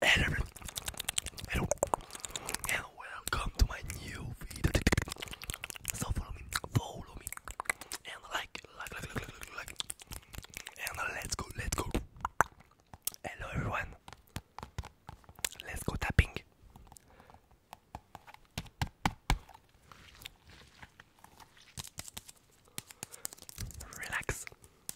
Hello everyone, hello, welcome to my new video. So follow me, follow me, and like, like, like, like, like, like, and let's go, let's go. Hello everyone, let's go tapping. Relax,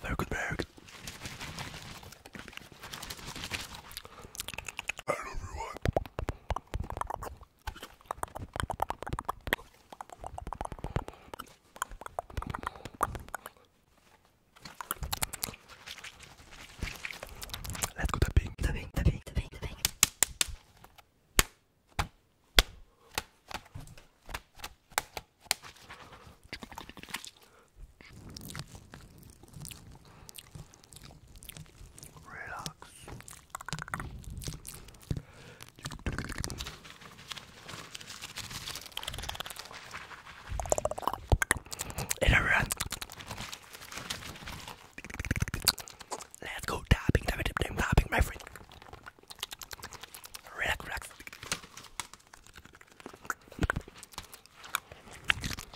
Very good, very good. Hello everyone. Let's go tapping. Tapping, tapping, tapping, tapping. Relax. And everyone, let's go tapping, tapping, tapping, tapping, my friend. Relax, relax.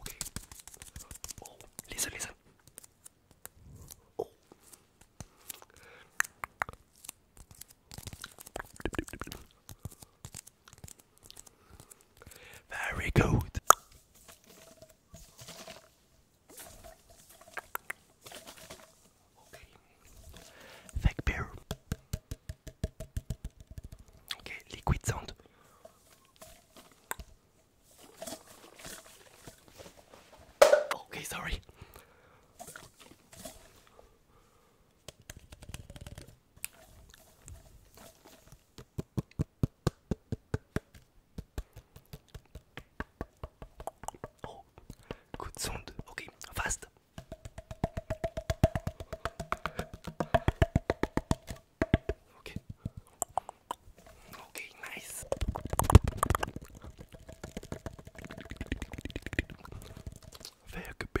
Okay. Oh, listen, listen. Oh. Very good. Okay. beer. Okay, liquid sound. Okay, sorry. Oh, good sound. Okay, fast. Okay. Okay, nice. There could be.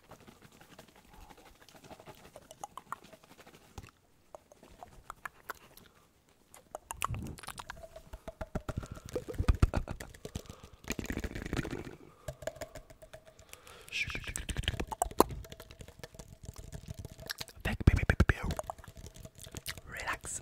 Back, baby, baby, baby. Relax.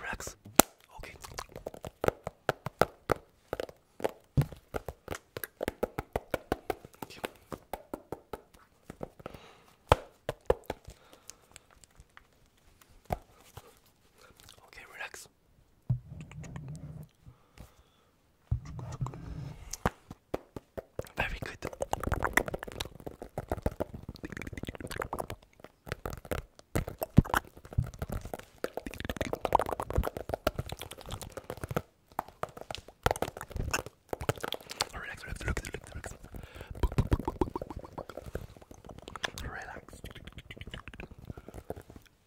Relax. Okay. okay. Okay, relax. Very good. Relax, relax, relax, relax, relax. Relax.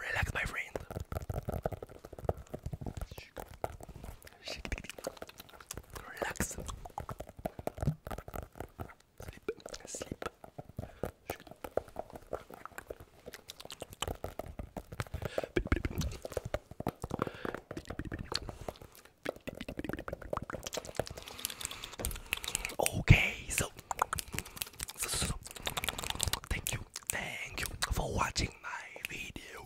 Relax, my friend. Relax. Sleep. Sleep. Okay, so, thank you, thank you for watching my video.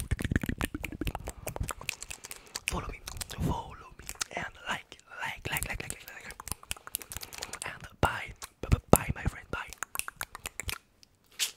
Follow me, follow me, and like, like, like, like, like, like, like. and bye, bye, bye, my friend, bye.